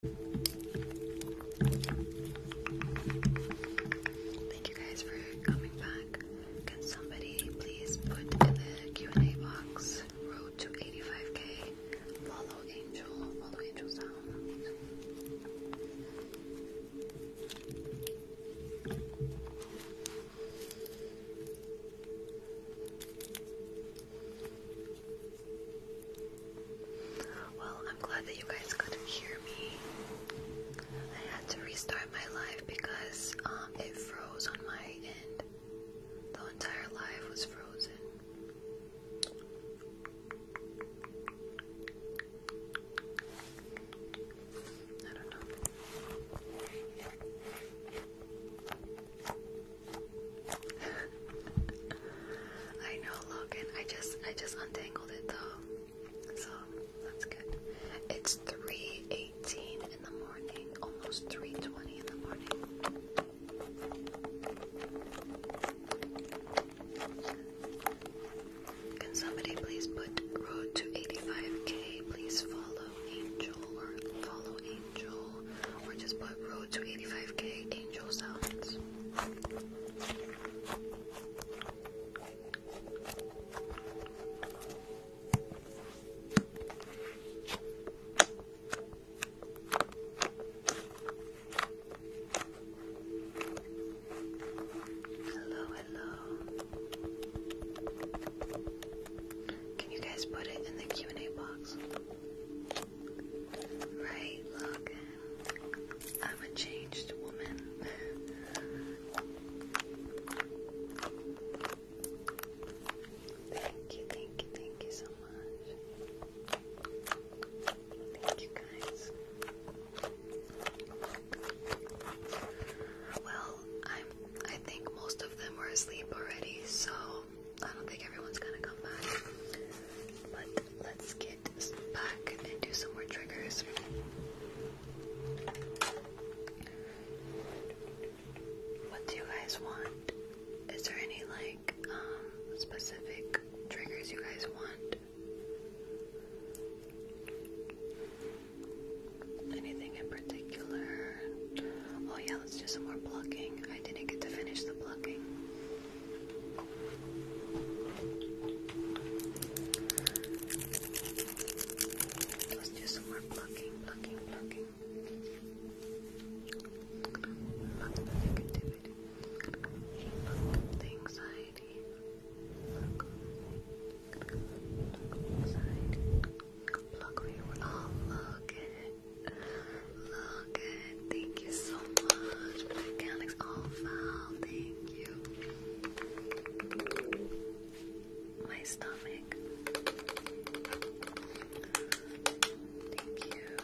Thank you guys for coming back. Can somebody please put in the Q&A box road to 85k? Follow Angel, follow Angel Sound. Well, I'm glad that you guys could hear me. I had to restart my live because um, it froze on my end. The entire live was frozen. I don't know. I know, Logan. I just, I just untangled it though, so that's good. It's three eighteen in the morning, almost three twenty in the morning. Can somebody please put road to eighty five k? Please follow Angel or follow Angel, or just put road to eighty five k Angel sounds. Hello, Can you guys put it in the Q&A box? Right, look. I'm a changed woman. thank you, thank you, thank you so much. Thank you guys. Well, I'm I think most of them were asleep already, so I don't think everyone's gonna come back. But let's get back and do some more triggers. What do you guys want? Is there any like um, specific triggers you guys want? Anything in particular? Oh yeah, let's do some more plucking. I didn't get to finish the plucking. Let's do some more plucking, plucking, plucking. Pluck the negativity. Pluck the anxiety. Pluck, pluck Oh, look at it. Logan, thank you so much. Black all foul, thank you. My stomach. Thank you.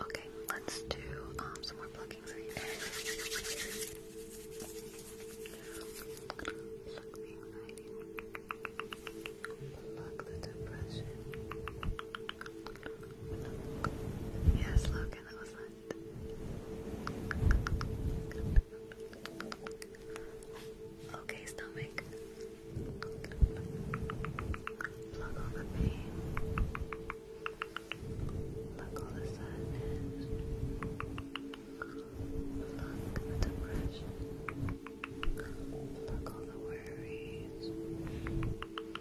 Okay, let's do um, some more plugging. for you. Pluck Yes, Logan, that was fun. Okay, stomach. Plug the pain. Look all the sadness. Look the depression. Look all the worries. Look the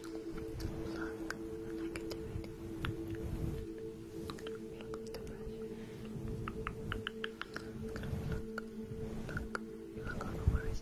negativity. Look the depression. Look, look, look all the worries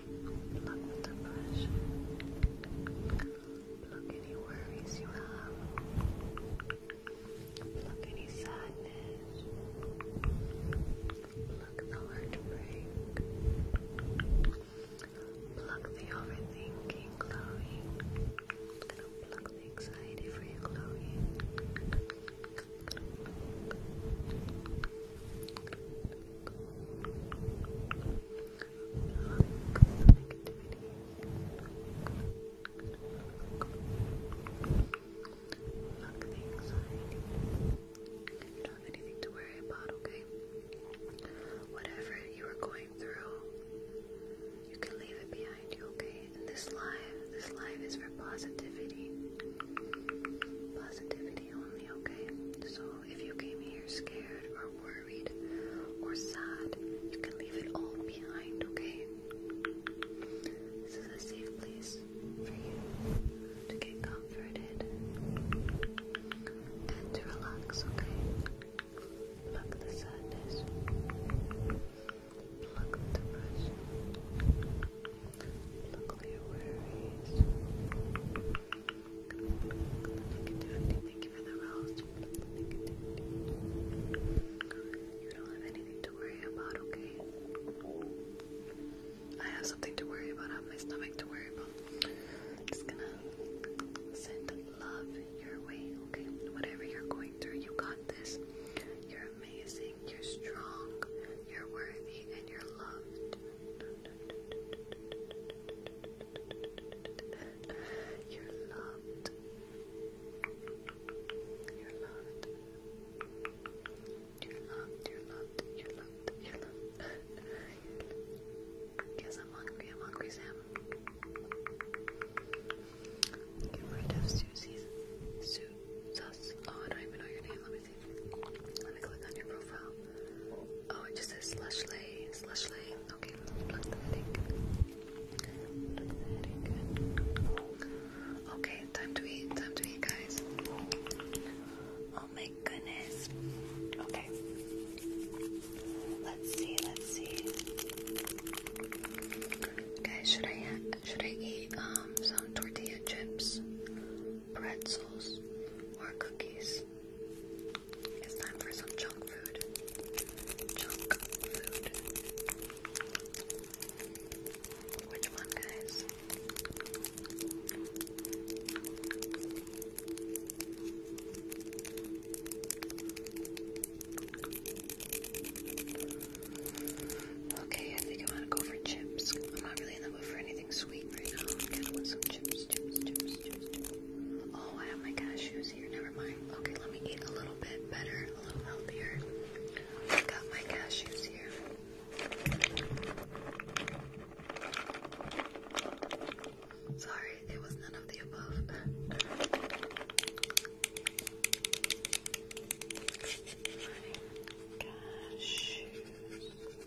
Pluck the depression. Pluck any worries you have. Pluck any sadness. Pluck the heartbreak. Pluck the overthinking, Chloe. I'm gonna pluck the anxiety for you, Chloe. Look You don't have anything to worry about, okay? Whatever you are going through, you can leave it behind you, okay? this live, this live is for positivity. Positivity only, okay? So if you came here scared or worried or sad, you can leave it all behind, okay? This is a safe place for you to get comforted and to relax, okay? Pluck the sadness, pluck the depression, pluck your worries you don't have anything to worry about, okay? I have something to worry about. I have my stomach to worry about. I'm just gonna send love your way, okay? Whatever you're going through, you got this. You're amazing, you're strong, you're worthy, and you're loved. You're loved. You're loved. You're loved. You're loved. You're loved. You're loved. Guess I'm hungry. I'm hungry, Sam. Get rid of Susie's suit. Sus. Oh, I don't even know your name. Let me see. Let me click on your profile. Oh, it just says slush lay, Okay, plug the headache. Okay, time to eat, time to eat, guys. Oh my goodness. Okay. Let's see, let's see. Guys, should I should I eat um some tortilla chips, pretzels, or cookies? It's time for some junk food. Junk food. Which one, guys? Okay, I think I want to go for chips. I'm not really in the mood for anything sweet right now. I'm gonna want some chips chips, chips, chips, chips. Oh, I have my cashews here. Never mind. Okay, let me eat a little bit better, a little healthier. I got my cashews here. Sorry, it was none of the above. Cashews.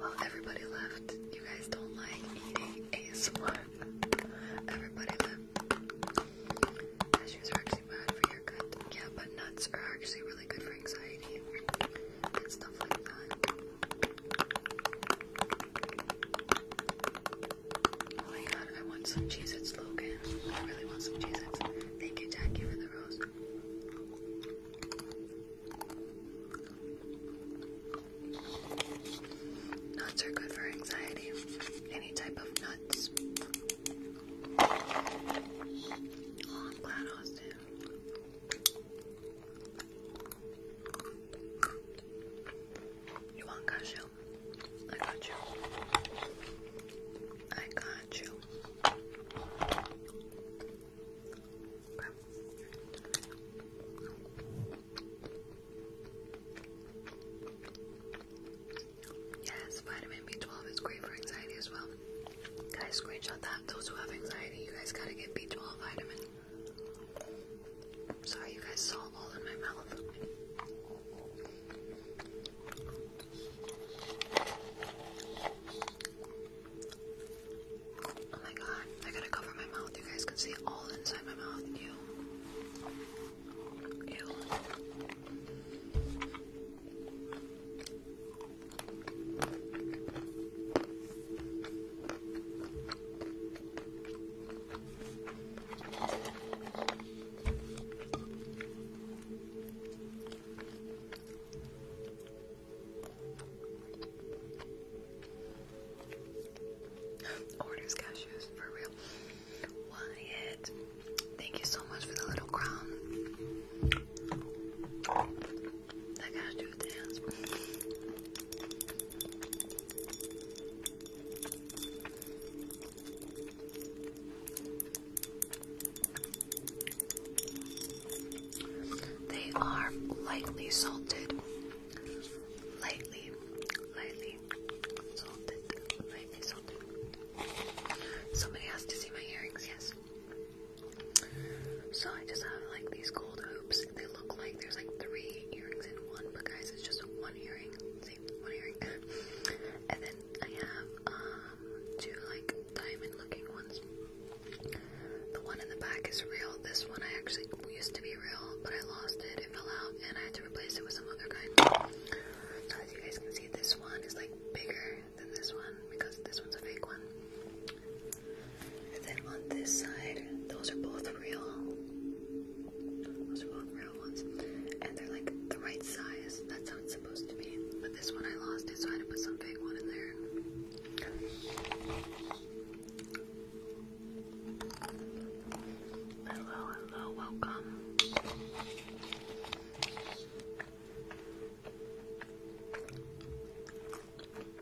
Well, everybody left. You guys don't like eating ASMR. Everybody left. Cashews are actually bad for your gut. Yeah, but nuts are actually really good for anxiety and stuff like that. Oh my god, I want some cheese at Logan. I really want some cheese. Thank you, Jackie, for the rose. Nuts are good for anxiety. Any type of nuts. Oh, I'm glad Austin. You want cashew? I got you. I got you. Yes, vitamin B12 is great for anxiety as well. Guys, screenshot that. Those who have anxiety, you guys gotta get B12 vitamin. sorry, you guys saw all in my mouth. Oh my god, I gotta cover my mouth. You guys can see all inside my mouth. Ew. Orders cashews for real. Wyatt, thank you so much for the little crown. That cashew dance. They are lightly salted. Lightly, lightly salted. Lightly salted. Somebody asked to see my earrings, yes. So I just have like these gold hoops. They look like there's like three earrings in one, but guys, it's just one earring. one earring. and then I have um, two like diamond looking ones. The one in the back is real. This one I actually used to be real, but I lost it. It fell out and I had to replace it with some other kind. So as you guys can see, this one is like bigger than this one because this one's a fake one. And then on this side, those are both real. Those are both real ones. And they're like the right size. That's how it's supposed to be. But this one I lost it, so I had to put some fake one in there. Hello, hello, welcome.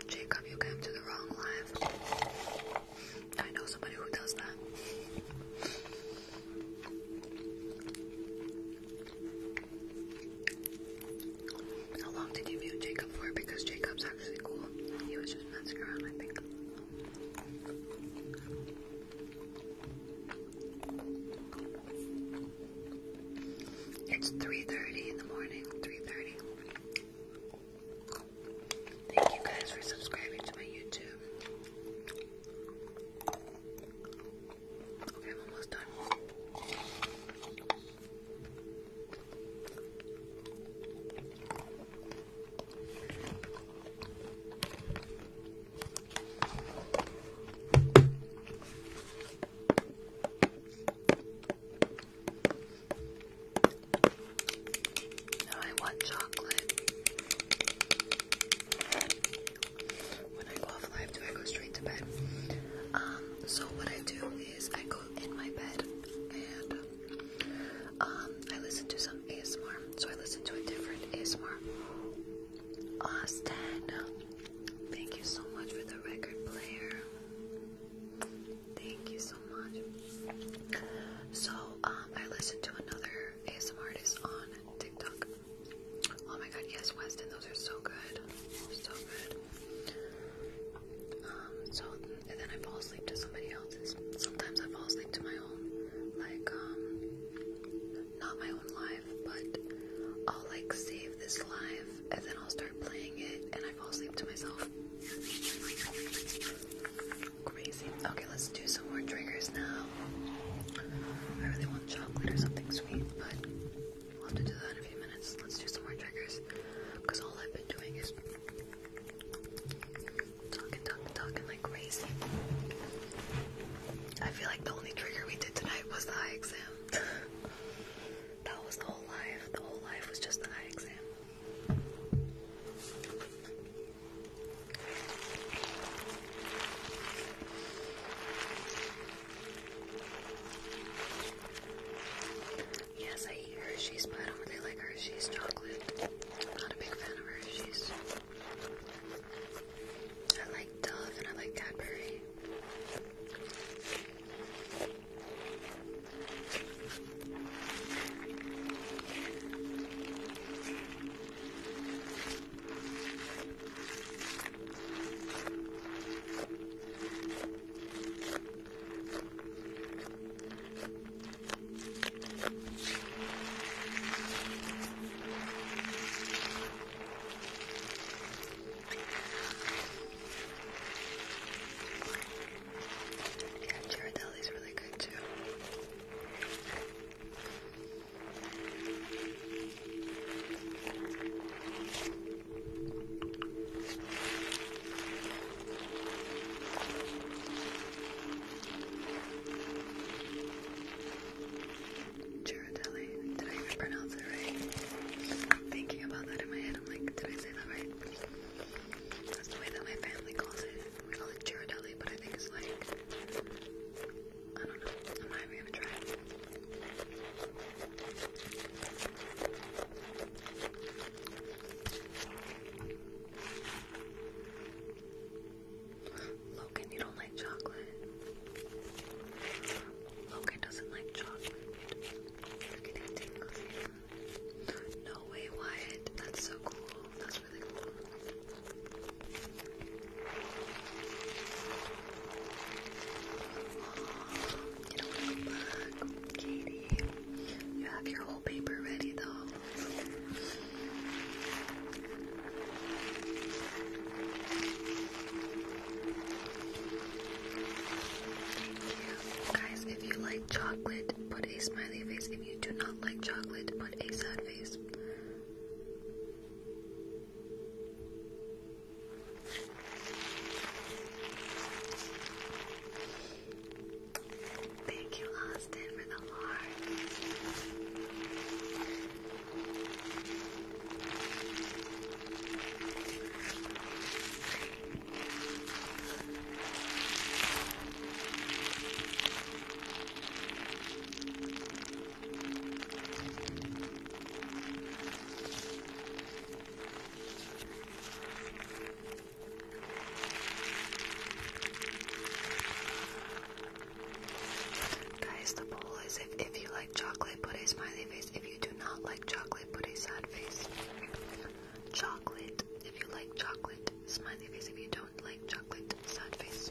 Jacob, you came to the wrong live. I know somebody who does that. How long did you view Jacob for? Because Jacob's actually cool. He was just messing around, I think. It's 3.30 in the morning. 3.30. Thank you guys for subscribing to my YouTube. Okay, I'm almost done. Now I want chocolate. When I go off do I go straight to bed. Um, so what I do is I go in my bed and um, I listen to some ASMR. So I listen to a different ASMR. Austin, thank you so much for the record player. Thank you so much. So um, I listened to another ASMR artist on TikTok. Oh my god, yes, Weston, those are so good. So good. Um, so then I fall asleep to somebody else's. Sometimes I fall asleep to my own, like um, not my own life, but I'll like save this life, and then I'll start playing it and I fall asleep to myself. Crazy. Okay, let's do some more triggers now. I really want chocolate or something sweet, but We'll have to do that in a few minutes. Let's do some more triggers. Because all I've been doing is talking, talking, talking like crazy. I feel like the only trigger we did tonight was the eye exam. that was the whole life. The whole life was just the eye exam. Yes, I eat Hershey's, but I don't really like Hershey's chocolate. I'm not a big fan of Hershey's. I like Dove and I like Cadbury. And Girardelli really good too. Girardelli. Did I even pronounce it right? I'm thinking about that in my head. I'm like, did I say that right? That's the way that my family calls it. We call it Girardelli, but I think it's like, I don't know. am not even gonna try. Logan, you don't like chocolate. Logan doesn't like chocolate. Look at No way, Wyatt. That's so cool. That's really cool. You Katie. You have your whole paper ready though. Thank you. Guys, if you like chocolate, put a smiley face. If you do not like chocolate, put a sad face. Thank you, Austin, for the heart. Guys, the poll is if, if you like chocolate, put a smiley face. If you do not like chocolate, put a sad face. Chocolate, if you like chocolate, smiley face. If you don't like chocolate, sad face.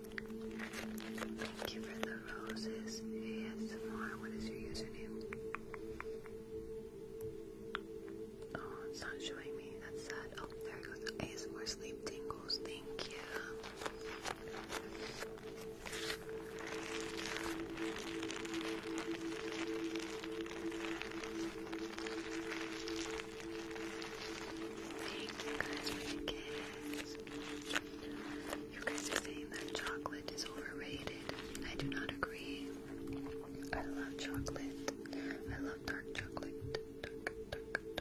Thank you for the roses. ASMR, what is your username? Oh, it's not showing me. That's sad. Oh, there it goes. ASMR sleep tingles. Thank you. Thank you guys you guys are saying that chocolate is overrated. I do not agree. I love chocolate. I love dark chocolate. dark chocolate.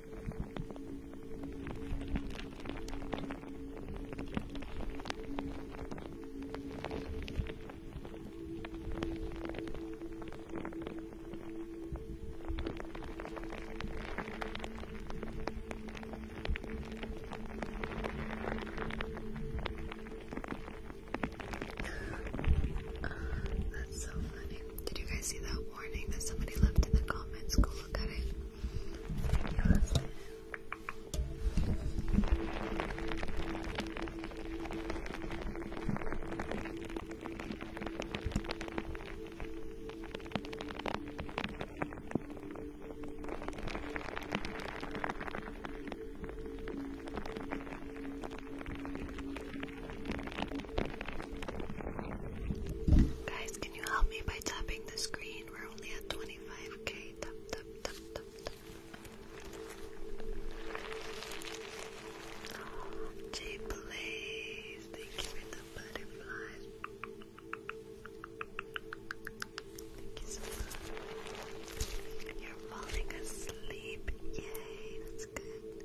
That's so funny. Did you guys see that warning that somebody left in the comments. Go look at it. Thank you Guys, can you help me by tapping the screen? We're only at 25k. Tap, thank you for the butterflies. Thank you so much. You're falling asleep. Yay, that's good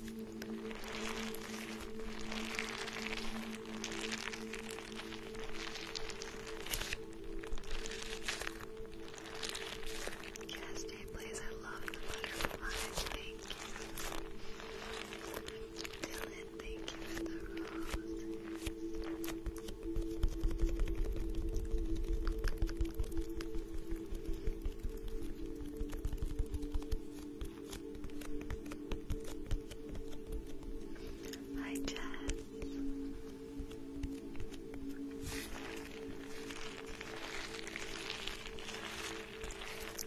Yes, please. I love the butterflies. Thank you. Dylan, thank you for the roses. Hi, Jess.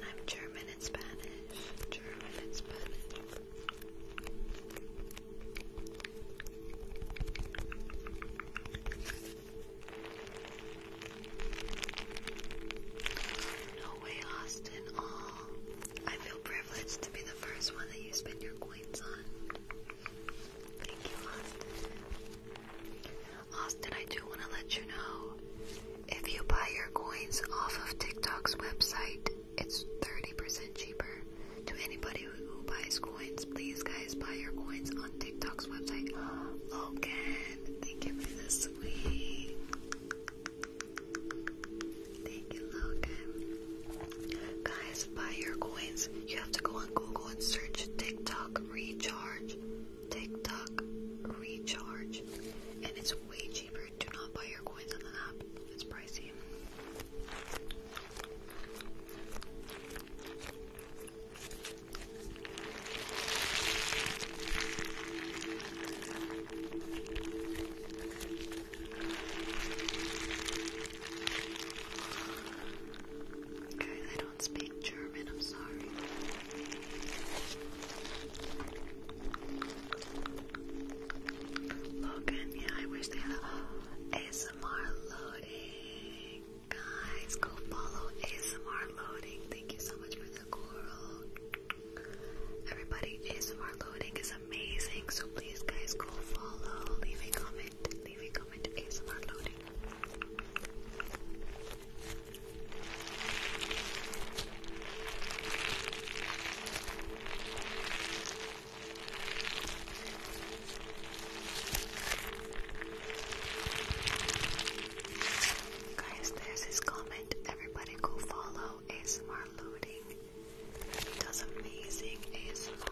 I'm German and Spanish. German and Spanish. No way, Austin. oh, I feel privileged to be the first one that you spend your coins on. Thank you, Austin. Austin, I do want to let you know, if you buy your coins off of TikTok's website, it's 30% cheaper. To anybody who buys coins, please guys, buy your coins on TikTok. TikTok's website. Logan, oh, thank you for this week. Thank you, Logan. Guys, buy your coins. You have to go on Google and search TikTok recharge. TikTok recharge. And it's way cheaper. Do not buy your coins on the app. It's pricey. Guys, I don't speak German, I'm sorry. Logan, yeah, I wish they had ASMR loading. Guys, go follow ASMR loading. Thank you so much for for the Everybody, ASMR loading is amazing, so please, guys, go follow. Leave a comment. Leave a comment. ASMR loading. Guys, there's his comment. Everybody go follow ASMR loading. He does amazing ASMR.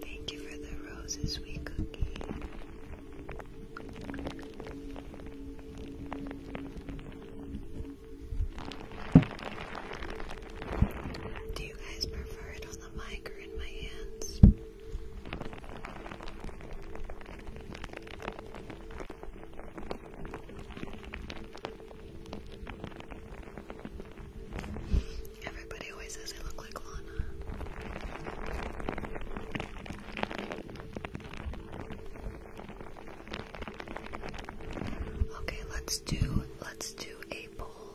Thank you for the roses, We cook. Do you guys prefer it on the mic or in my hands? Everybody always says I look like Lana. Okay, let's do let's do a poll.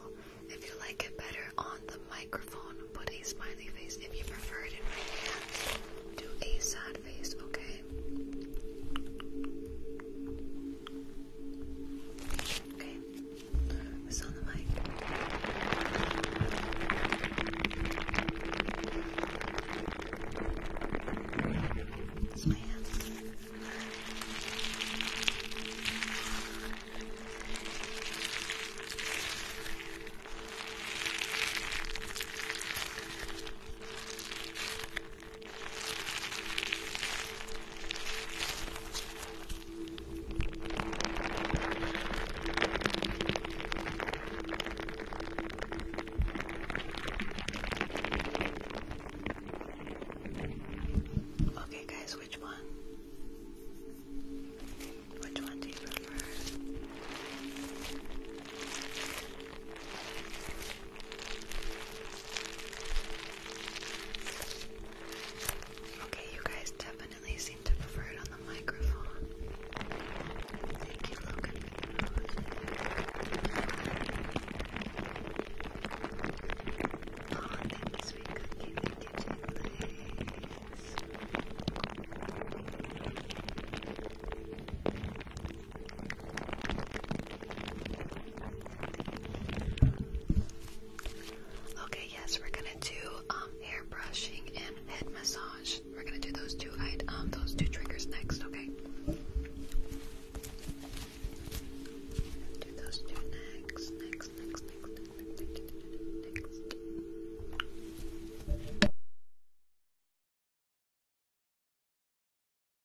If you like it better on the microphone, put a smiley face. If you prefer it in my hands, do a sad face, okay? Okay. Who's on the mic? It's my hand. Okay, guys, which one? Which one do you prefer? Okay, you guys definitely seem to prefer it on the microphone. Thank you, Logan. Okay, yes, we're gonna do hair um, brushing and head massage. We're gonna do those two um, those two triggers next. Okay. Do those two next, next, next, next, next, next. next.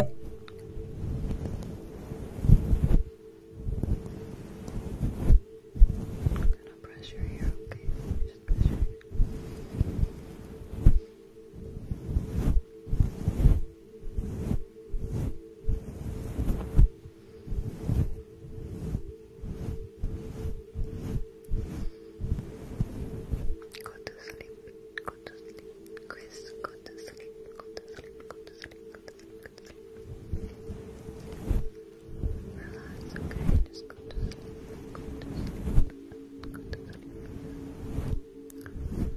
I'm gonna pressure here, okay? Just pressure. Go to sleep, go to sleep, Chris, go to sleep, go to sleep, go to sleep, go to sleep, go to sleep. Relax, okay, just go to sleep, go to sleep, go to sleep.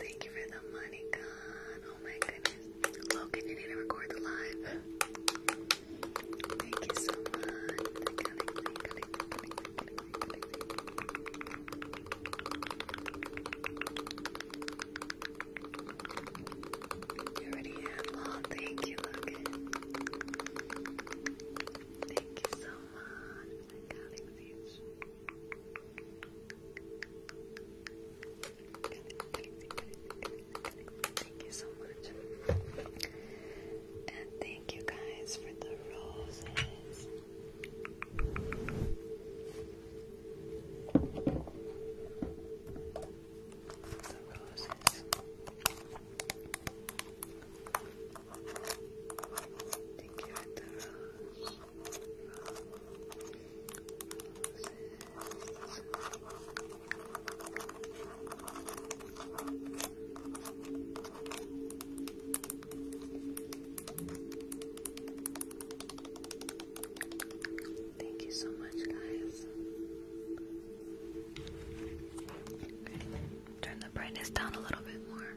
Thank you for the money, God. Oh my goodness. Logan, you need to record the live. Thank you so much. You already have Thank you, Logan. Thank you so much. Thank you so much. And thank you guys for the roses. The roses. Thank you for the rose. Thank you so much, guys. turn the brightness down a little bit more.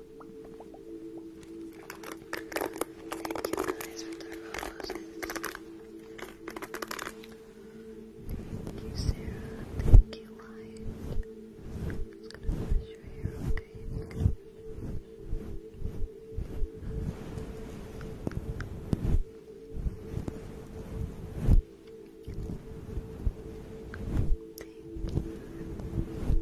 Thank you guys Thank you, Sarah. Thank you, Lion. i gonna brush your hair, okay?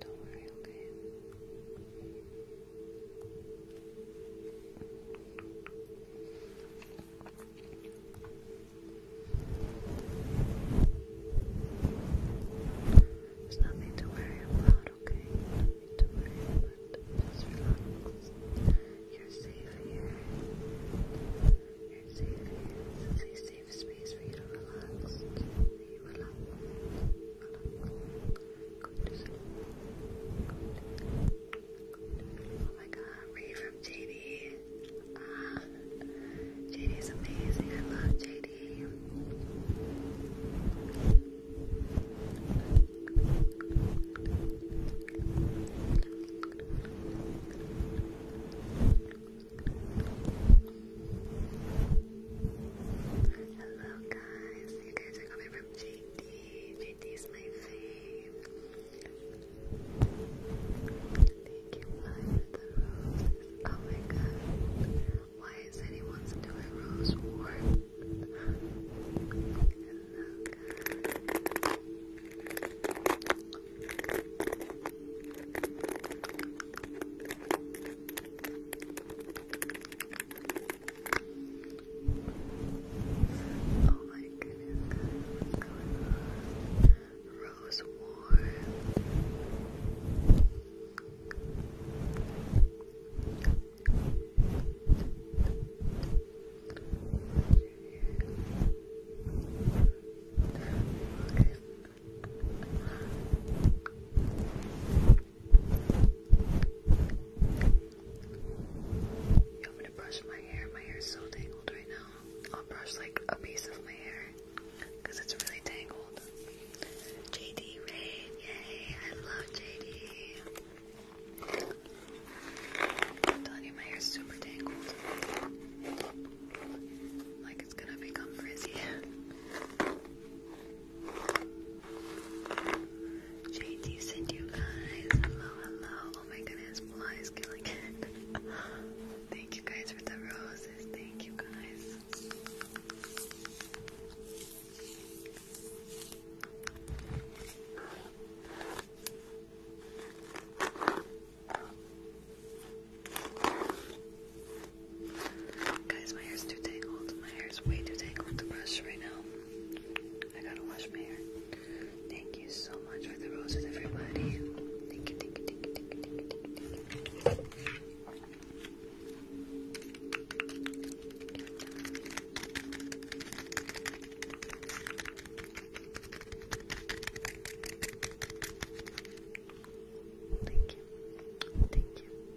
Don't worry, okay? There's nothing to worry about, okay? Nothing to worry about. Just relax. You're safe here. You're safe here. This is a safe space for you to relax. Just relax, relax. Oh my god, read from JD. Ah, uh, JD is amazing. I love JD. Hello, you guys are coming from JD. JD my fave. Thank you, Maya, Oh my god. Why is anyone still rose war? Oh my goodness, guys, what's going on? Rose Warren. Okay. Yo, I'm gonna brush my hair. My hair is so tangled right now. I'll brush like a piece of my hair because it's really tangled. JD Ray, yay! I love JD. I'm telling you, my hair's super tangled. Like it's gonna become frizzy. JT sent you guys. Hello, hello. Oh my goodness, fly killing it. Thank you guys for the roses. Thank you guys. Guys, my hair's too tangled. My hair's way too tangled to brush right now. I gotta wash my hair. Thank you so much for the roses, everybody. thank you. Thank you. Thank you.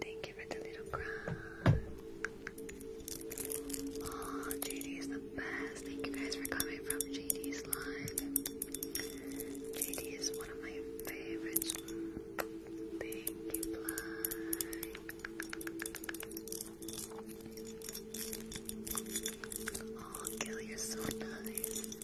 Thank you for the little crown. Oh, JD is the best. Thank you guys for coming from JD's line. JD is one of my favorites. Thank you, Bly. Oh, Gil, you're so nice.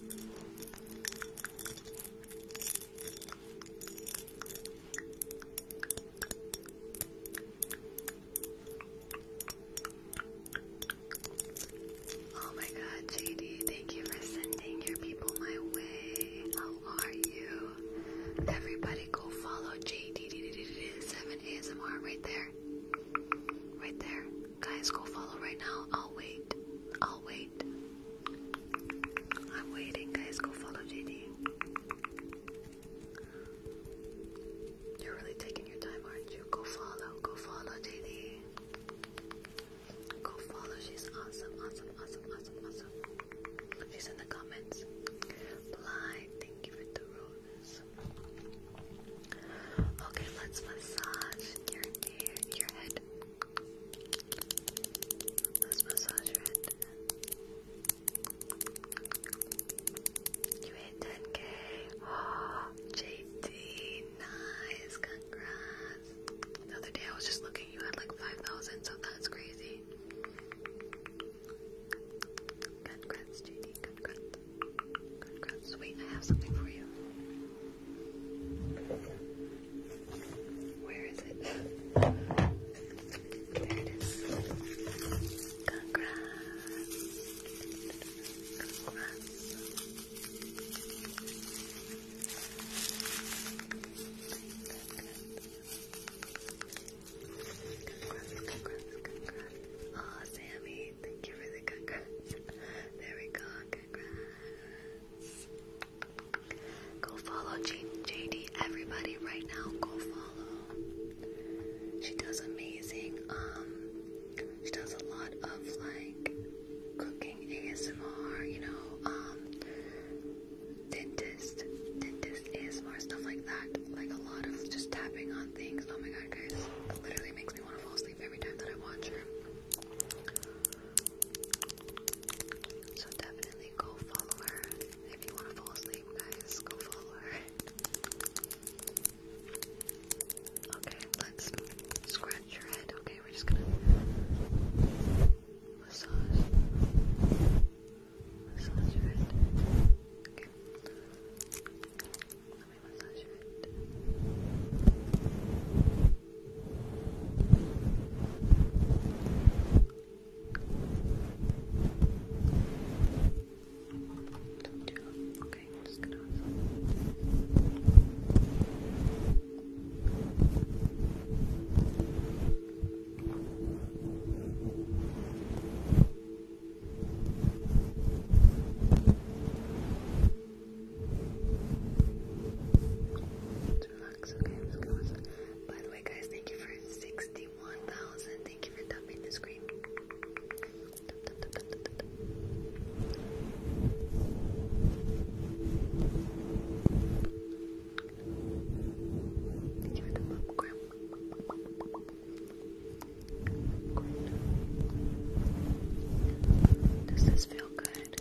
Oh my god, JD, thank you for sending your people my way. How are you? Everybody go follow JD7ASMR right there. Right there. Guys, go follow right now. I'll wait. I'll wait. I'm waiting, guys. Go follow JD. You're really taking your time, aren't you? Go follow, go follow JD. Go follow, she's awesome, awesome, awesome, awesome, awesome. She's in the comments. Bly, thank you for the roses. Okay, let's massage your ear, your head. Let's massage your head. You hit 10k. JD, nice, congrats. The other day I was just looking, you had like 5,000, so that's crazy. Congrats, JD, congrats. Congrats. I have something for you. Where is it? There it is. Congrats. Congrats. Congrats, congrats, congrats. Oh, Sammy, thank you for the congrats. There we go, congrats. Go follow JD, everybody, right now. Go follow. She does amazing. Um, she does a lot of like cooking ASMR, you know, um, dentist, dentist ASMR, stuff like that. Like a lot of just tapping on things. Oh my god, guys, it literally makes me want to fall asleep every time that I watch her. So definitely go follow her. If you want to fall asleep, guys, go follow her. Okay, let's scratch your head. Okay, we're just gonna massage. Massage your head. Okay. Let me massage your head. Okay, I'm just gonna. Relax, okay, I'm just going By the way, guys, thank you for 61 1,000. Thank you for tapping the screen. Does this feel good?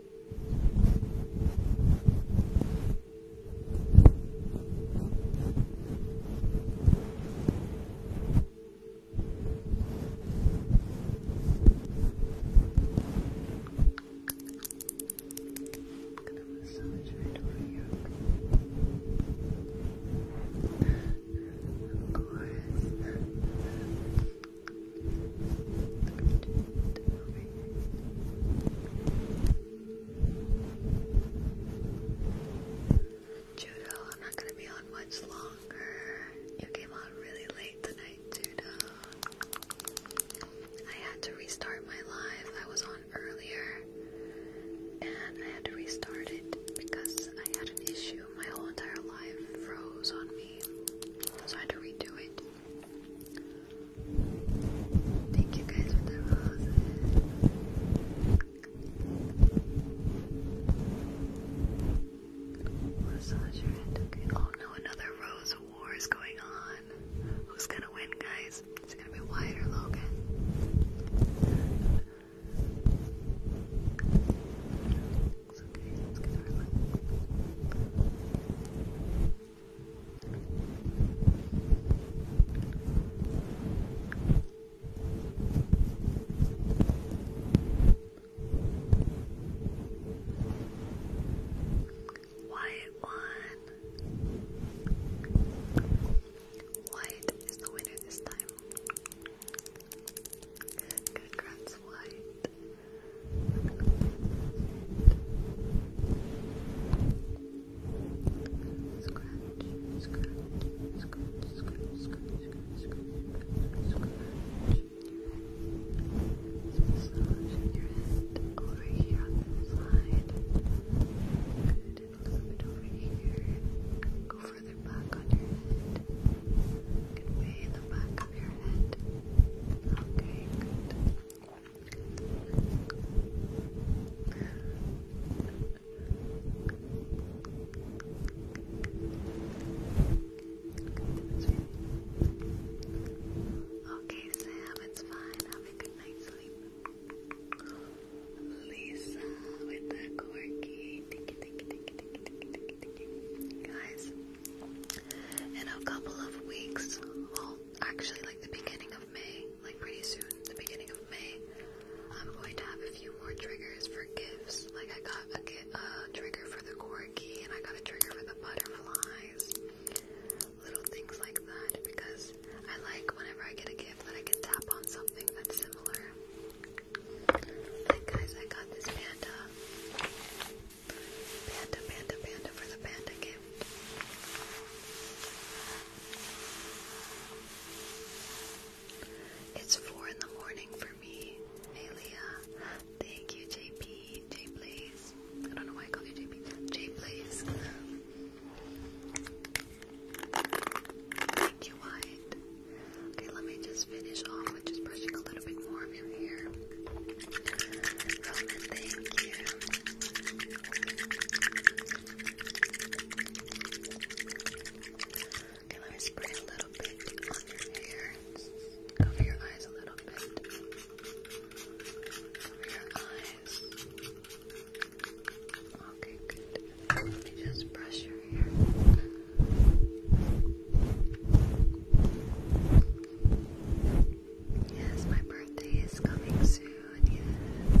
I'm gonna massage right over your Of course. Judo, I'm not gonna be on much longer. You came on really late tonight, Judo. I had to restart my live. I was on earlier and I had to restart it because I had an issue. My whole entire live froze on me. So I had to redo it. Thank you guys for the roses. Massage your head, another rose war is going on. Who's gonna win, guys? Is gonna be Wyatt or Logan? legs, okay? Let's White one. White is the winner this time. Congrats, White massaging your head over here on this side. Good, and a little bit over here. Go further back on your head. Good way in the back top Okay, good. Okay, it's fine. Have a good night's sleep. Lisa with the corky. Thank you, thank you, thank you, thank Guys, in a couple of weeks. Well, actually, like the beginning of May, like pretty soon, the beginning of May, I'm going to have a few more triggers for gifts. Like I got a, trigger for the corgi, and I got a trigger for the butterflies. Little things like that because I like whenever I get a gift that I can tap on something that's similar. guys, I got this panda. Panda, panda, panda for the panda gift. It's four in the morning for me, Alia. Thank you, JP. J Blaze. I don't know why I called you JP. J Blaze. Thank you, White. Okay, let me just finish off with just brushing a little bit more of your hair thank you. Okay, let me spray a little bit on your hair. Cover your eyes a little bit. Cover your eyes. Okay, good. just brush your hair. Yes, my birthday is coming soon, yes.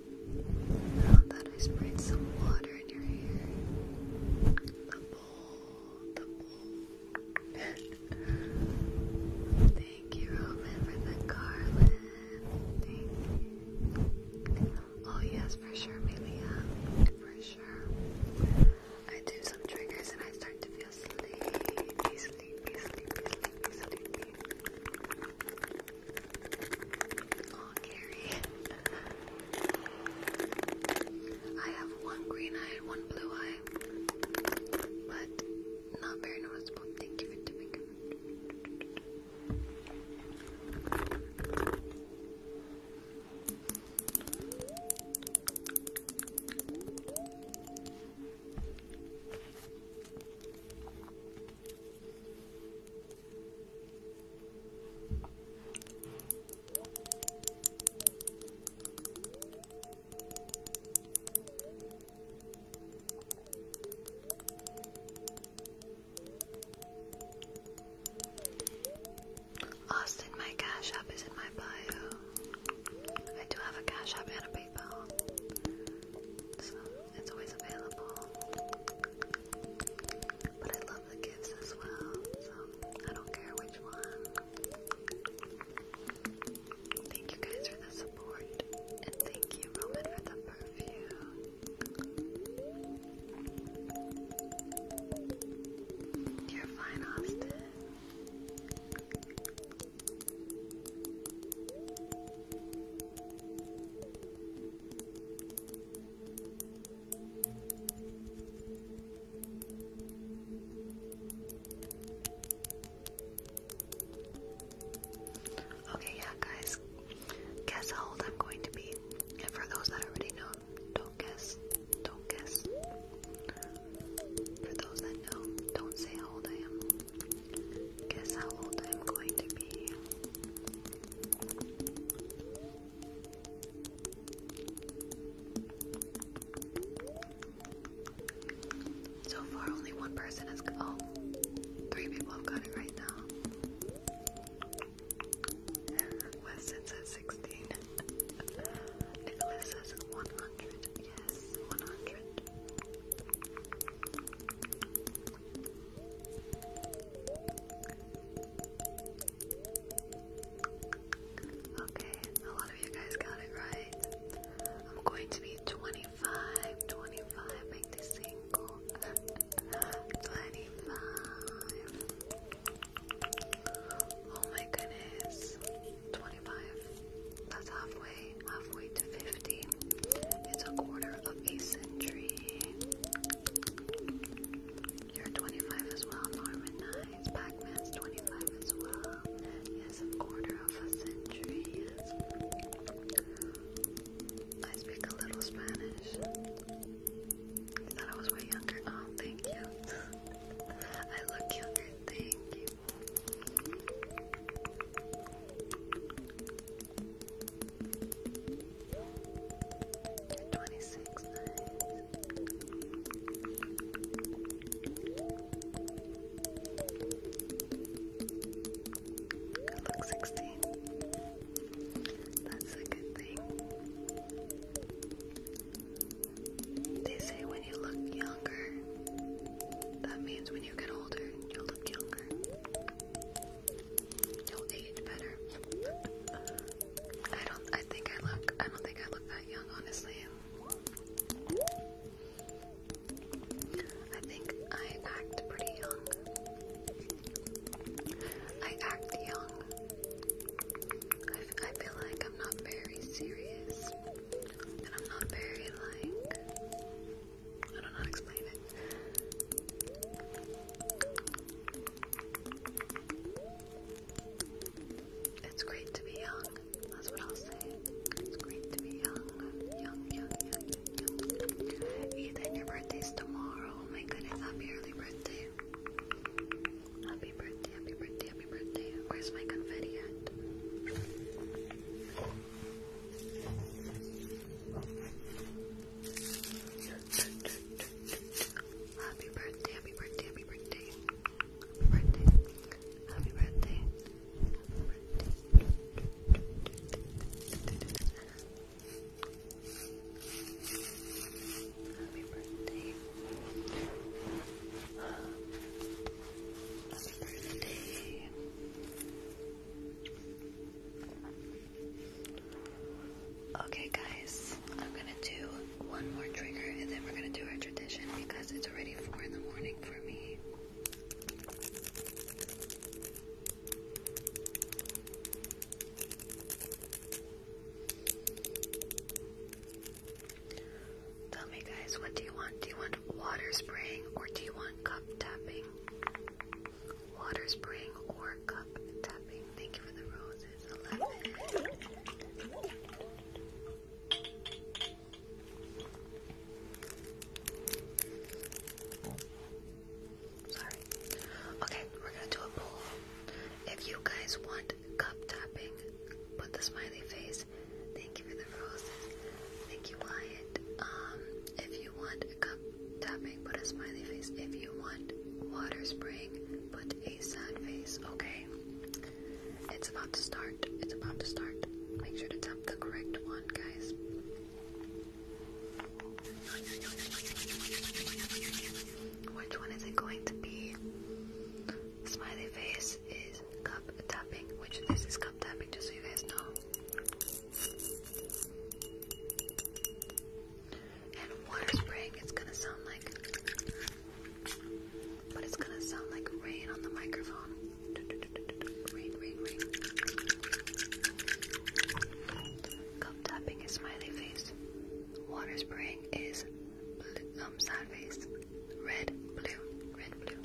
Now that I sprayed some water in your hair, the bowl, the bowl. Thank you, Roman, for the garland. Thank you. Oh yes, for sure, maybe for sure. I do some triggers and I start to feel sleepy, sleepy, sleepy, sleepy, sleepy. Oh, Gary. I have one green eye one blue eye, but not very noticeable. Thank you for doing it. Austin, my cash app is in my bio. I do have a cash app and a PayPal so it's always available. But I love the gifts as well, so I don't care which one. Thank you guys for the support, and thank you, Roman, for the perfume. You're fine, Austin. Okay, yeah, guys, guess how old I'm going to be. And for those that already know, don't guess. Don't guess. For those that know, don't say how old I am. Guess how old I'm going to be. So far, only one person has. Oh, three people have got it right now. Weston says 16. Nicholas says 100. Yes, 100. Okay, a lot of you guys got it right. I'm going to be 25, 25, single. 25. Oh my goodness. 25. That's halfway. 50. It's a quarter of a century. You're 25 as well, Norman. Nice. pac 25 as well. Yes, a quarter of a century. I speak a little Spanish. thought I was way younger. Oh, thank you. I look younger. Thank you. 26, nice. Good 16. That's a good thing. They say when you look younger, that means when you get older, you'll look younger. You'll age better. I don't. I think I look. I don't think I look that young, honestly. I think I act pretty young. I act young. I, feel like I'm not very serious, and I'm not very like I don't know it. It's great to be young. That's what I'll say. It's great to be young. Young, young, young, young, Ethan, your birthday's tomorrow. Oh my goodness, happy early birthday. Happy birthday, happy birthday, happy birthday. Where's my confetti Happy birthday, happy birthday, happy birthday. Happy birthday. Happy birthday. Happy birthday. Okay, guys, I'm gonna do one more trigger and then we're gonna do our tradition because it's already 4 in the morning for me. Tell me, guys, what do you want? Do you want water spraying or do you want cup tapping? water spring, or cup tapping. Thank you for the roses. 11. Sorry. Okay, we're gonna do a poll. If you guys want cup tapping, put the smiley face. Thank you for the roses. Thank you, Wyatt. Um, if if you want a cup tapping, put a smiley face. If you want water spraying, put a sad face, okay? It's about to start. It's about to start. Make sure to tap the correct one, guys. Which one is it going to be? Smiley face is cup tapping, which this is cup tapping, just so you guys know. And water spraying, it's gonna sound like. But it's gonna sound like rain on the microphone. Cup tapping is smiley face. Water spraying is um, sad face. Red, blue, red, blue.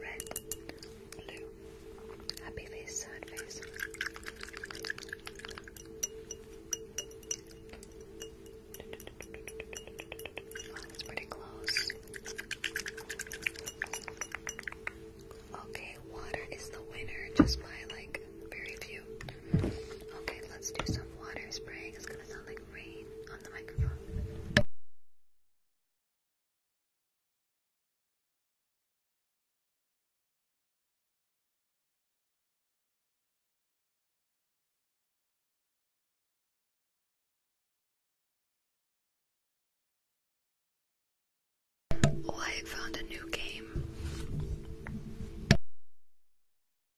Red, blue, happy face, sad face. pretty close. Okay, water is the winner just by like very few. Okay, let's do some water spraying. It's gonna sound like rain on the microphone. Oh, I found a new game.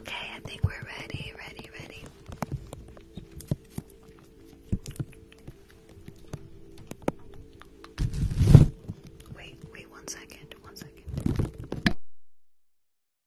Okay, I think we're ready, ready, ready. Wait, wait one second, one second.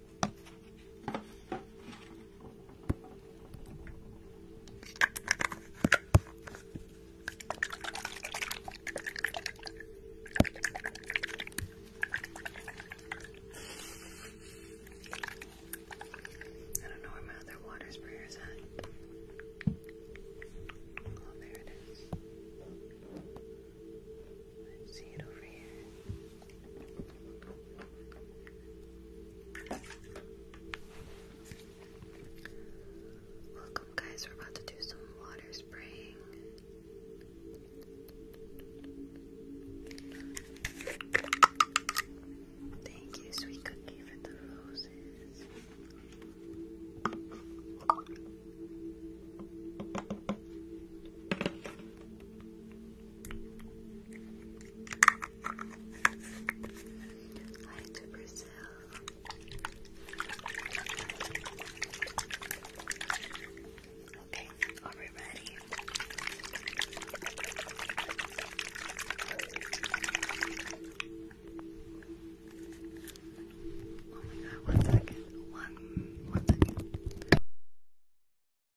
I don't know where my other water sprayer is at. Oh, there it see it over here. Welcome, guys. We're about to do some water spraying. Thank you, sweet for the roses. Hi to Brazil. Okay, are we ready? Oh my god, one second. One, one second.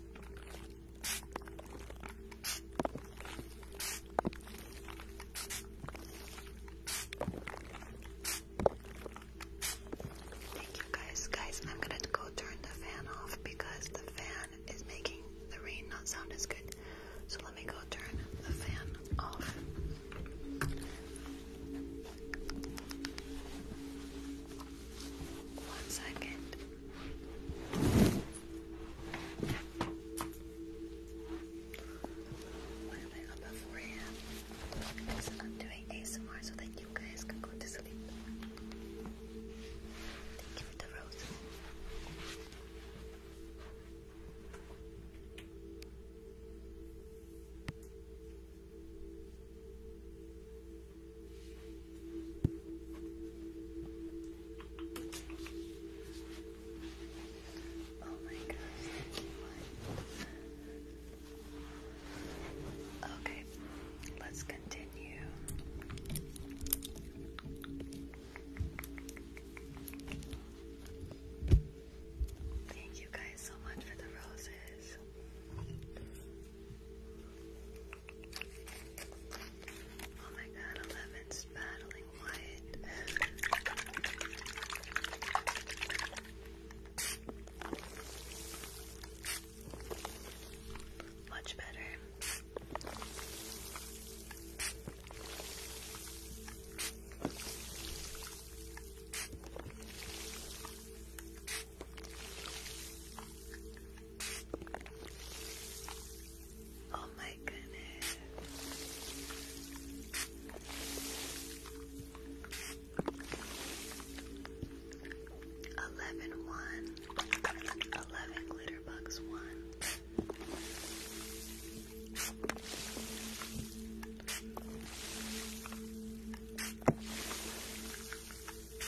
Thank you guys. Guys, I'm gonna go turn the fan off because the fan is making the rain not sound as good. So let me go turn the fan off. One second. I a.m.? doing ASMR so that you guys can go to sleep. Thank you for rose. Oh my gosh, Okay, let's continue. Thank you guys so much for the roses. Oh my god, Eleven's battling Wyatt. Much better. Oh my goodness. Eleven one. Eleven glitter bucks one.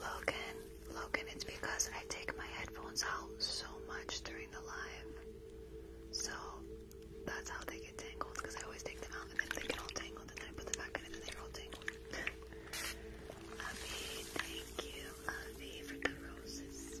Logan, Logan, it's because I take my headphones out so much during the live. So that's how they get tangled because I always take them out and then they get all tangled and then I put them back in and then they're all tangled. Avi, thank you, Avi, for the roses.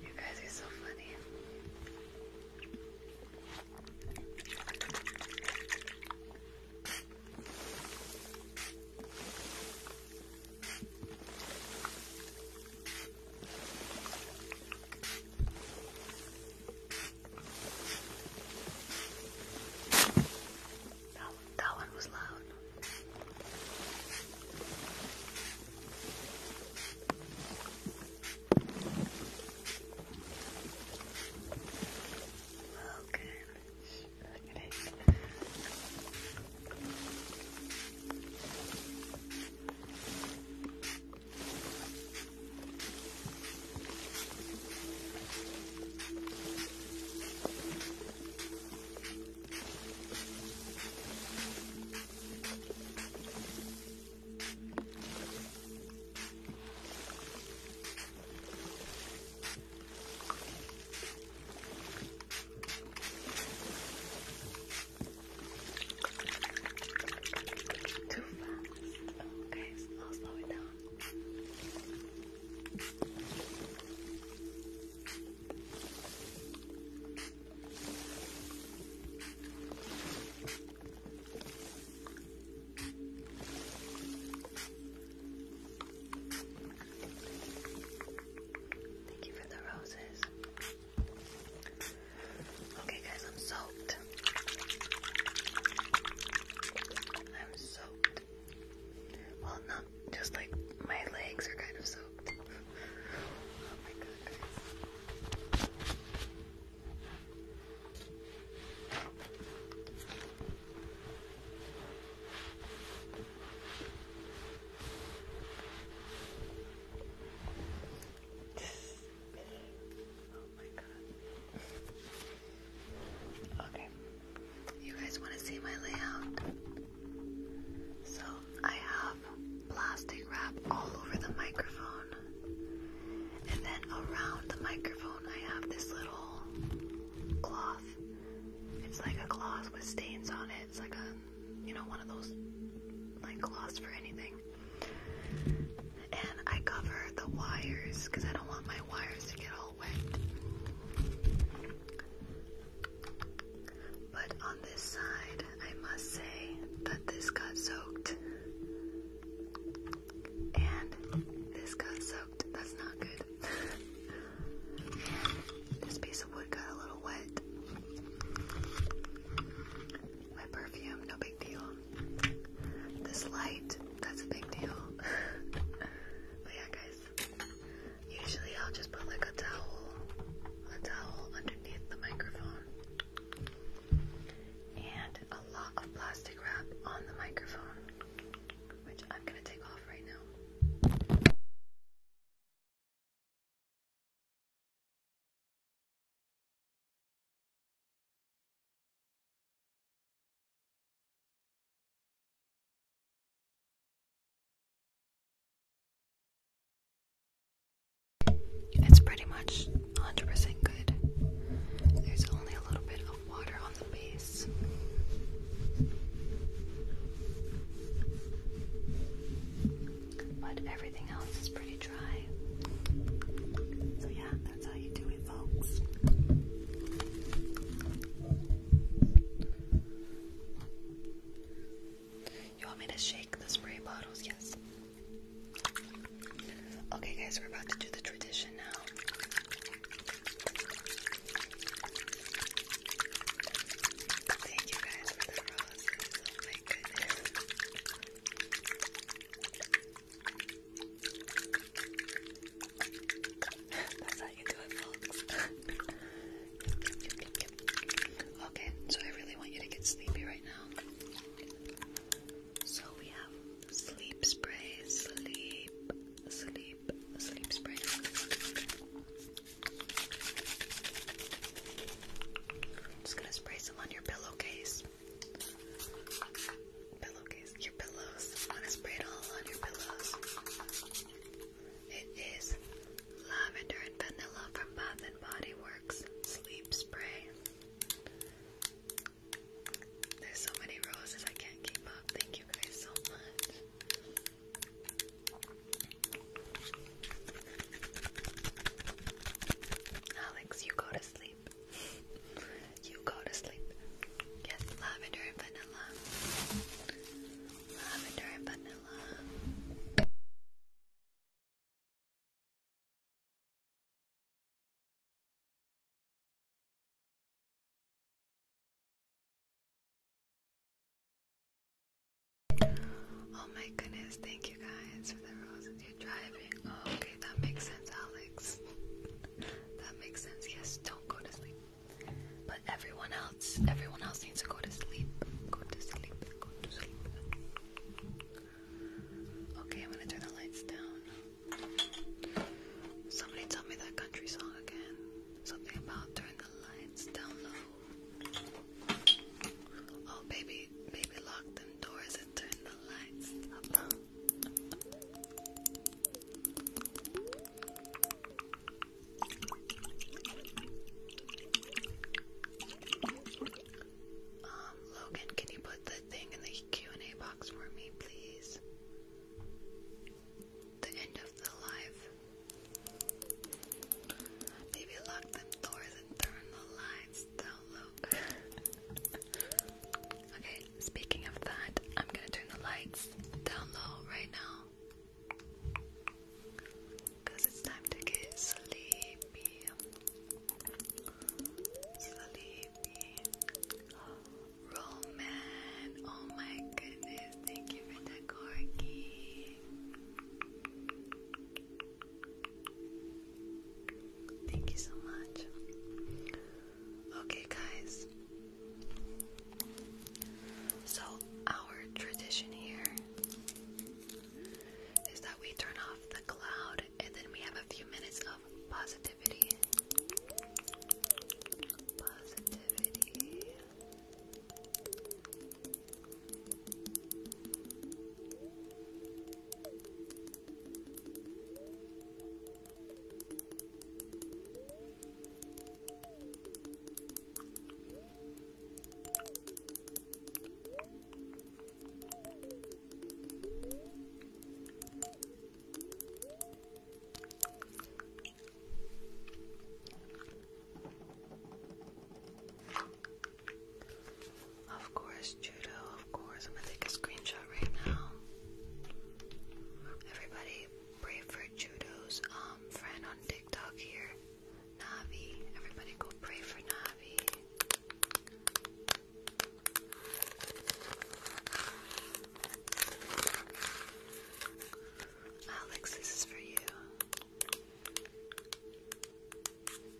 you guys are so funny. That, that one was loud. Okay, look at it. Okay. Too fast. Okay, so slow it down. Thank you for the roses. Okay, guys, I'm soaked. I'm soaked. Well, not just like my legs are kind of soaked. oh my god, Oh my god. Okay. You guys want to see my layout? So I have plastic wrap all over the microphone. And then around the microphone, I have this little cloth. It's like a cloth with stains on it. It's like a, you know, one of those like cloths for anything. And I cover the wires because I don't want my wires to get all wet. But on this side, I must say that this got soaked. And this got soaked. That's not good. this piece of wood got a little wet. My perfume, no big deal. This light, that's a big deal. but yeah, guys, usually I'll just put like a towel, a towel underneath the microphone and a lot of plastic wrap on the microphone, which I'm going to take off right now. It's pretty much 100% good. There's only a little bit water on the base. But everything else is pretty dry. So, yeah, that's how you do it, folks. You want me to shake the spray bottles? Yes. Okay, guys, we're about to do the tradition now. Thank you guys for the roses. Oh my goodness. That's how you do it, okay, so I really want you to get sleepy right now. So we have Sleep spray, sleep, sleep, sleep spray. just gonna spray some on your pillowcase. Pillowcase, your pillows. gonna spray it all on your pillows. It is lavender and vanilla from Bath and Body Works. Sleep spray. There's so many roses, I can't keep up. Thank you guys so much. Alex, you go to sleep. You go to sleep. Yes, lavender and vanilla. Lavender and vanilla. Oh my goodness, thank you guys for the roses. You're driving. Oh, okay, that makes sense, Alex. that makes sense. Yes, don't go to sleep. But everyone else, everyone else needs to go to sleep. Go to sleep. Go to sleep. Okay, I'm gonna turn the lights down. Somebody tell me that country song again. Something about turn the lights down low. Oh, baby, baby, lock them doors and turn the lights up. Um, Logan, can you put that thing in the Q&A box? for me, please? The end of the life. Maybe lock them doors and turn the lights down low. okay, speaking of that, I'm gonna turn the lights down low right now. Cause it's time to get sleepy. Sleepy. Roman, oh my goodness, thank you for the corgi. Thank you so much. Okay, guys. So, our tradition here is that we turn off the cloud out, and then we have a few minutes of Positivity. Of course, Judo, of course. I'm gonna take a screenshot right now. Everybody, pray for Judo's um friend on TikTok here. Navi. Everybody go pray for Navi. Alex, this is for you.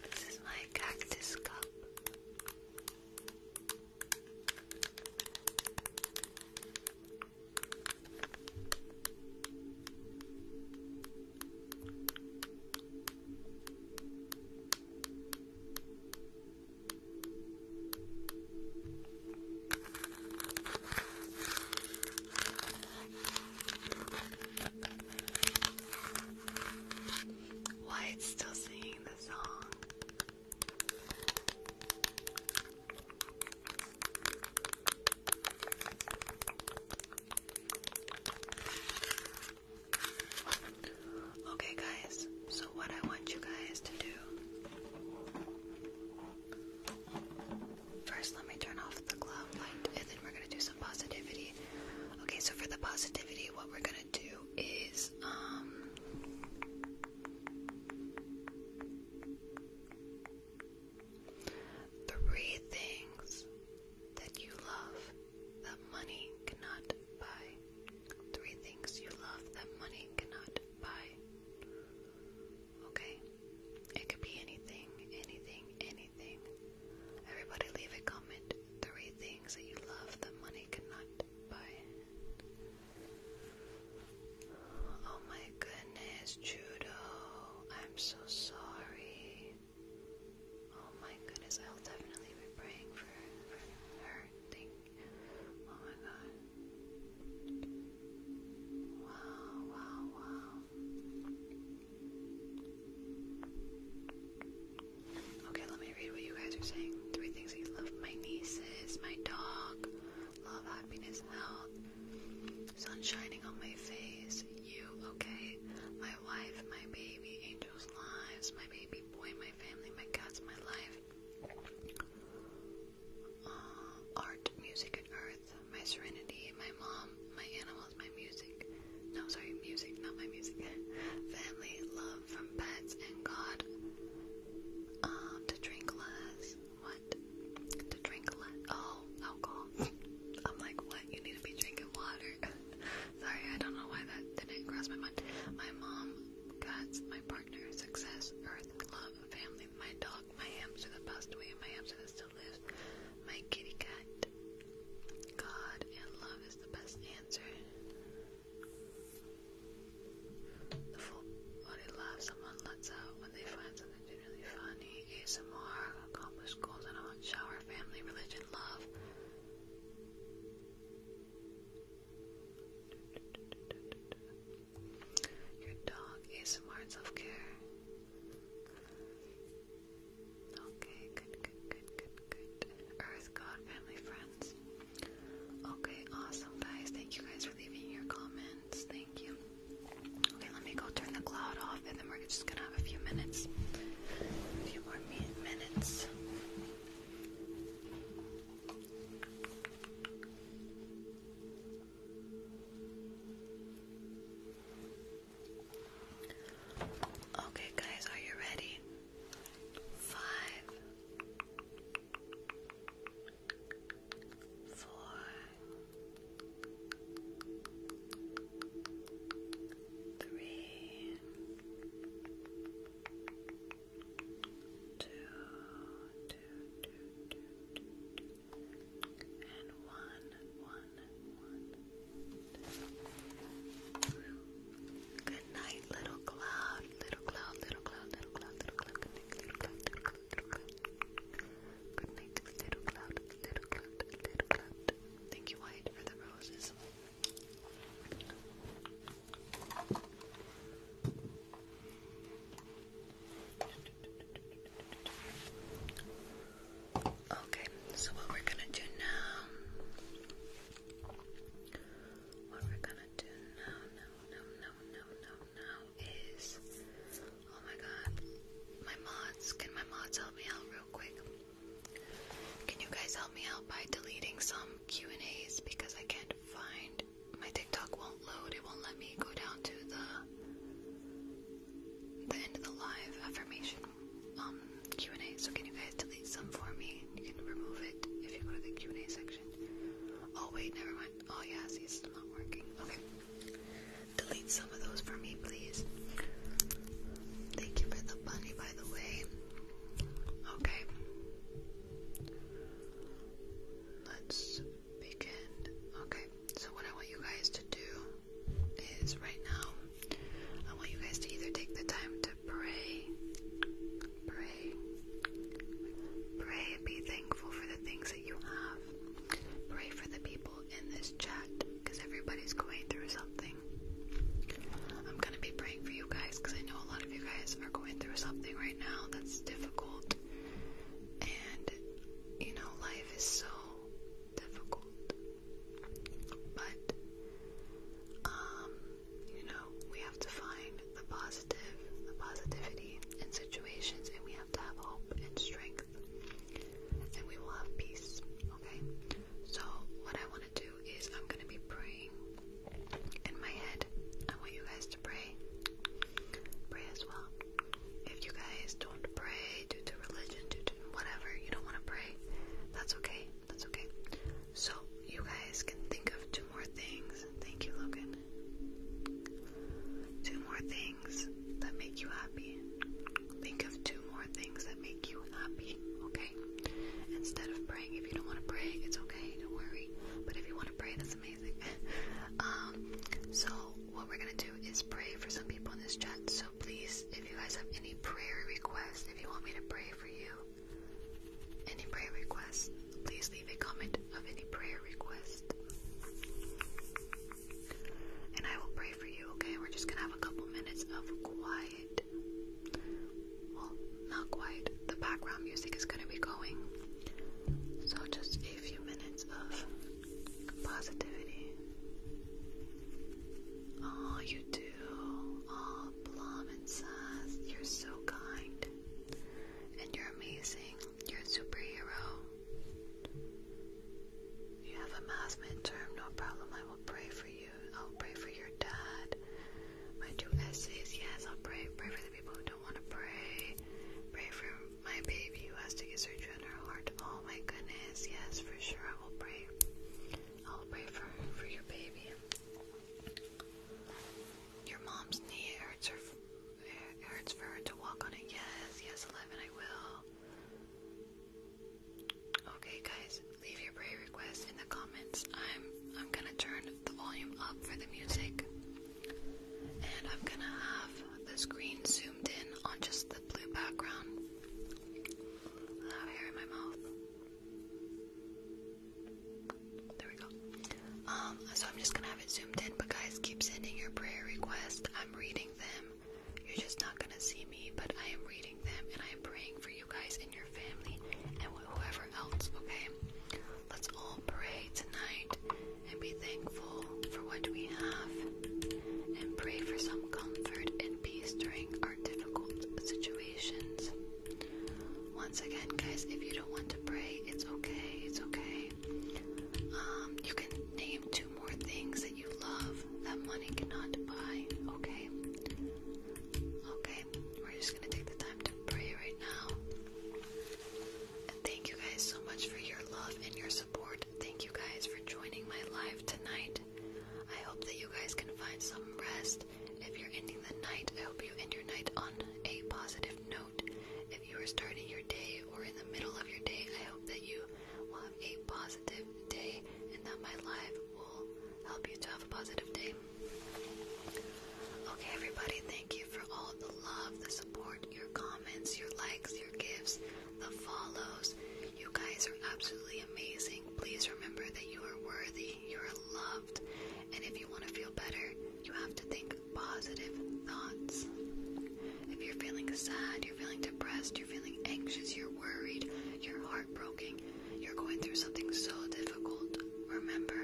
This is my cactus cup. Why it's still singing the song? Okay, guys, so what I want you guys to do. First, let me turn off the glow light and then we're gonna do some positivity. Okay, so for the positivity, what we're gonna do is, um, three things that you love that money cannot buy. Three things you love that money cannot buy. Okay? It could be anything, anything, anything. Everybody leave a comment. Three things that you love that money cannot buy. Oh my goodness, Judo. I'm so sorry. Oh my goodness, I'll definitely be praying for, for her. Oh my god. Wow, wow, wow. Okay, let me read what you guys are saying. Three things I love my nieces, my dog, love, happiness, health, sun shining on my face, you, okay, my wife, my baby, angels' lives, my baby boy, my family, my cats, my life, uh, art, music, and earth. My serenity, my mom, my animals, my music. No, sorry, music, not my music. Family, love from pets, and God. Um, to drink less. What? To drink less. Oh, alcohol. I'm like, what? You need to be drinking water. sorry, I don't know why that didn't cross my mind. My mom, Cats, my partner, success, earth, love, family, my dog, my hamster the best way away, my hamster that still lives, my kitty cat. God and love is the best answer. The full body laugh someone lets out when they find something genuinely funny. ASMR, accomplished goals in a hot shower, family, religion, love. Your dog is smart self-care. Okay, good, good, good, good, good. Earth, God, family, friends. Okay, awesome, guys. Thank you guys for leaving your comments. Thank you. Okay, let me go turn the cloud off, and then we're just gonna have a few minutes. few more minutes. Okay, guys, are you ready? Five, four, three, two, two, two, two, two, two, and one, one, Good night, little cloud, little cloud, little cloud, little cloud, little cloud, good night, little cloud, little cloud, little cloud. Good night, little cloud, little cloud, little cloud. Thank you, White, for the roses. Okay, so what we're gonna do now, what we're gonna do now, now, now, now, now, now, is, oh my god, my mods, can my mods help me out real quick? Can you guys help me out by deleting some Q&As because I can't find my TikTok won't load. It won't let me go down to the the end of the live affirmation um, Q and A. So can you guys delete some for me? You can remove it if you go to the Q and A section. Oh wait, never mind. Oh yeah, see, it's not working. Okay, delete some of those for me, please. Thank you for the bunny, by the way. Okay let's begin. Okay, so what I want you guys to do is right now, I want you guys to either take the time to pray, pray, pray, be thankful for the things that you have, pray for the people in this chat because everybody's going through something. I'm gonna be praying for you guys because I know a lot of you guys are going through something right now that's difficult. And you know, life is so difficult. But um, you know, we have to find the positive, the positivity in situations and we have to have hope and strength. And we will have peace, okay? So what I want to do is I'm going to be praying in my head. I want you guys to pray. Pray as well. If you guys don't pray due to religion, due to whatever, you don't want to pray, that's okay. That's okay. So, you guys can think of two more things. Thank you, Logan. Two more things that make you happy. Think of two more things that make you happy, okay? Instead of praying, if you don't want to pray, it's okay, don't worry. But if you want to pray, that's amazing. Um, so what we're gonna do is pray for some people in this chat. So please, if you guys have any prayer requests, if you want me to pray for you, any prayer requests, please leave a comment of any prayer request. And I will pray for you, okay? We're just gonna have a couple minutes of quiet not quite. The background music is going to be going. So, just a few minutes of positivity. Oh, you do. Oh, Plum you're so kind. And you're amazing. You're a superhero. You have a math midterm, no problem. I will pray for you. I'll pray for your dad my two essays. Yes, I'll pray. Pray for the people who don't want to pray. Pray for my baby who has to get surgery on her heart. Oh my goodness. Yes, for sure. I will pray. I'll pray for for your baby. Your mom's knee hurts her. It hurts for her to walk on it. Yes, yes, eleven. I will. Okay, guys, leave your prayer requests in the comments. I'm I'm gonna turn the volume up for the music. And I'm gonna have the screen zoomed in on just the blue background. hair in my mouth. There we go. Um, so I'm just gonna have it zoomed in, but guys, keep sending your prayer requests. I'm reading them. You're just not gonna see me, but I am reading them and I am praying for you guys and your family and whoever else, okay? Let's all pray tonight and be thankful for what we have and pray for some comfort and peace during our difficult situations. Once again, guys, if you don't want to pray, it's okay. It's okay. Um, you can name two more things that you love that money cannot buy. Okay. Okay. We're just gonna take the time to pray right now. And thank you guys so much for your love and your support. Thank you guys for joining my live tonight. I hope that you guys can find some rest. If you're ending the night, I hope you end your night on a positive note. If you are starting your day or in the middle of your day, I hope that you will have a positive day and that my live will help you to have a positive day. Okay, everybody, thank you for all the love, the support, your comments, your likes, your gifts, the follows. You guys are absolutely amazing. Please remember that you are worthy, you are loved, and if you want to feel better, you have to think positive thoughts. If you're feeling sad, you're feeling depressed, you're feeling anxious, you're worried, you're heartbroken, you're going through something so difficult, Remember,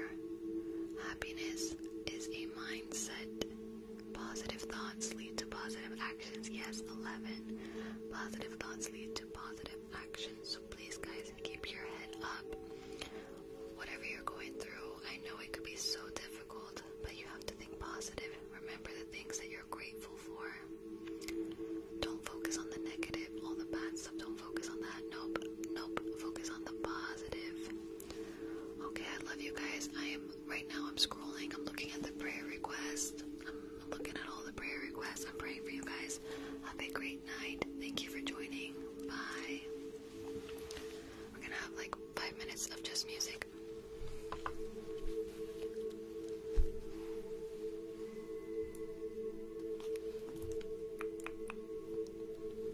happiness is a mindset. Positive thoughts lead to positive actions. Yes, 11. Positive thoughts lead to positive actions. So please, guys, keep your head up. Whatever you're going through, I know it could be so difficult, but you have to think positive. Remember the things that you're grateful for. Don't focus on the negative, all the bad stuff. Don't focus on that. Nope, nope. Focus on the positive. Okay, I love you guys. I am right now I'm scrolling. I'm looking at the prayer request. I'm looking at all the prayer requests. I'm praying for you guys. Have a great night. Thank you for joining. Bye. We're gonna have like five minutes of just music.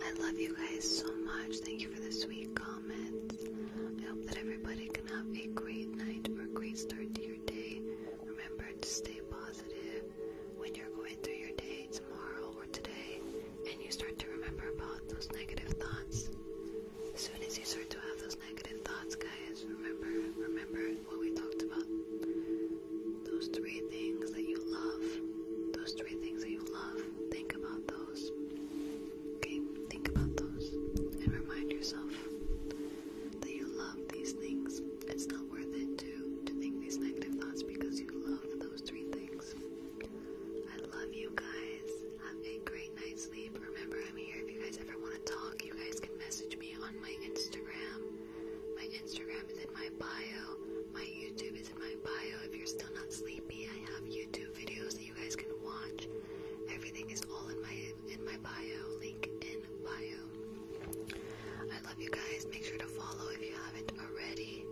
I love you guys so much. Thank you for the sweet comments. I hope that everybody can have a great night or a great start to your day. Remember to stay positive when you're going through your day tomorrow or today and you start to remember about those negative thoughts. As soon as you start to have those negative thoughts, guys, remember, remember what we talked about. Those three things that you love. Those three things that you love. Think about those. Okay? Think about those. And remind yourself that you love these things. It's not worth it to, to think these negative thoughts because you love those three things. I love you guys. Have a great night's sleep. Remember, I'm here. If you guys ever want to talk, you guys can message me on my Instagram. My Instagram is in my bio. My YouTube is in my bio. If you're still not sleepy, I have YouTube videos that you guys can watch. Everything is all in my in my bio. Link in bio. I love you guys. Make sure to follow if you haven't already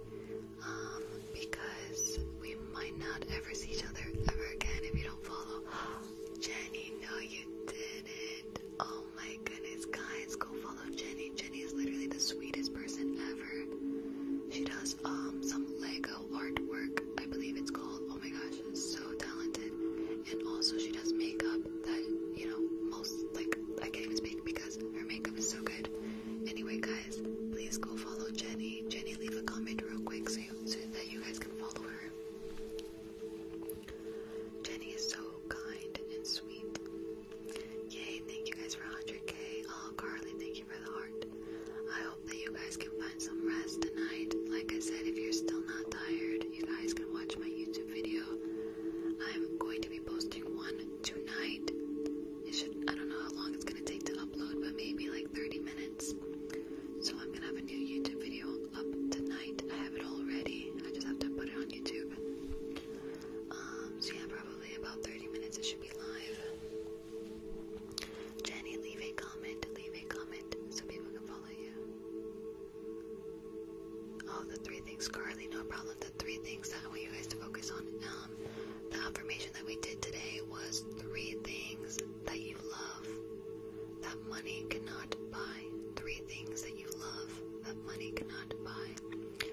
um, because we might not ever see each other ever again if you don't follow. Jenny, no, you didn't. Oh my goodness, guys, go follow Jenny. Jenny is literally the sweetest person ever. She does um some Lego artwork, I believe it's called. Oh my gosh, so talented. And also she does makeup that you know most like I can't even speak because her makeup is so good. Anyway, guys, please go follow Jenny. Jenny, leave a comment real quick so, that you guys can follow her. Jenny is so kind and sweet. Yay, thank you guys for 100k. Oh, Carly, thank you for the heart. I hope that you guys can find some rest tonight. Like I said, if you're still not tired, you guys can watch my YouTube video. I'm going to be posting one tonight it should, I don't know how long it's gonna take to upload, but maybe like 30 minutes. So I'm gonna have a new YouTube video up tonight. I have it all ready. I just have to put it on YouTube. Um, so yeah, probably about 30 minutes it should be live. Jenny, leave a comment, leave a comment so people can follow you. Oh, the three things, Carly, no problem. The three things I want you guys to focus on. Um, um, the affirmation that we did today was three things that you love that money cannot buy. Three things that you love that money cannot buy.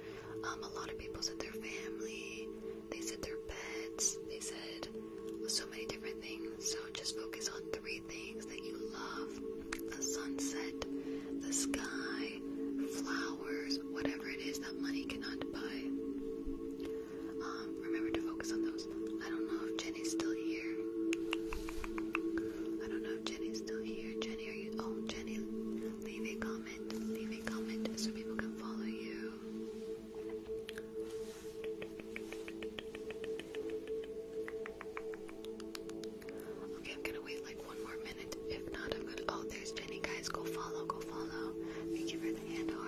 Um, a lot of people said their family, they said their pets, they said so many different things. So just focus on three things that you love the sunset, the sky, flowers, whatever it is that money cannot buy. Um, remember to focus on those. I don't know if Jenny's still here. I don't know if Jenny's still here. Jenny, are you? Oh, Jenny, leave a comment. Leave a comment so people can follow you. Okay, I'm gonna wait like one more minute. If not, I'm gonna. Oh, there's Jenny, guys. Go follow, go follow. Thank you for the hand heart.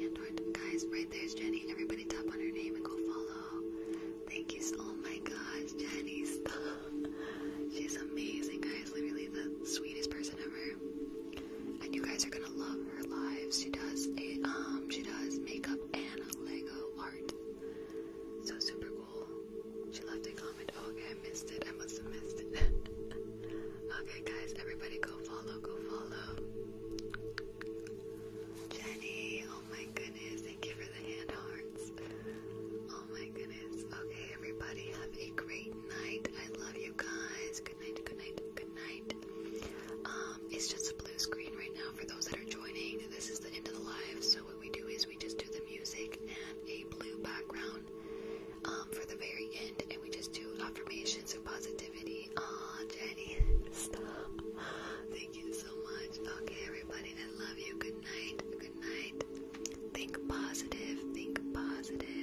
Hand heart, Guys, right there's Jenny. Everybody tap on her name and go follow. Thank you so oh my gosh, Jenny, stop. She's amazing, guys. Literally the sweetest person ever. And you guys are gonna love her lives. She does a um she does makeup and Lego art. So super cool. She left a comment. Oh okay, I missed it. I must have missed it. Okay, guys, everybody go follow, go follow. Jenny, oh my goodness, thank you for the hand hearts. Oh my goodness. Okay, everybody, have a great night. I love you guys. Good night, good night, good night. Um, it's just a blue screen right now for those that are joining. This is the end of the live, so what we do is we just do the music and a blue background. Um, for the very end, and we just do affirmations of positivity. Aw, Jenny, stop. Thank you so much. Okay, everybody, I love you. Good night. Good night. Think positive. Think positive.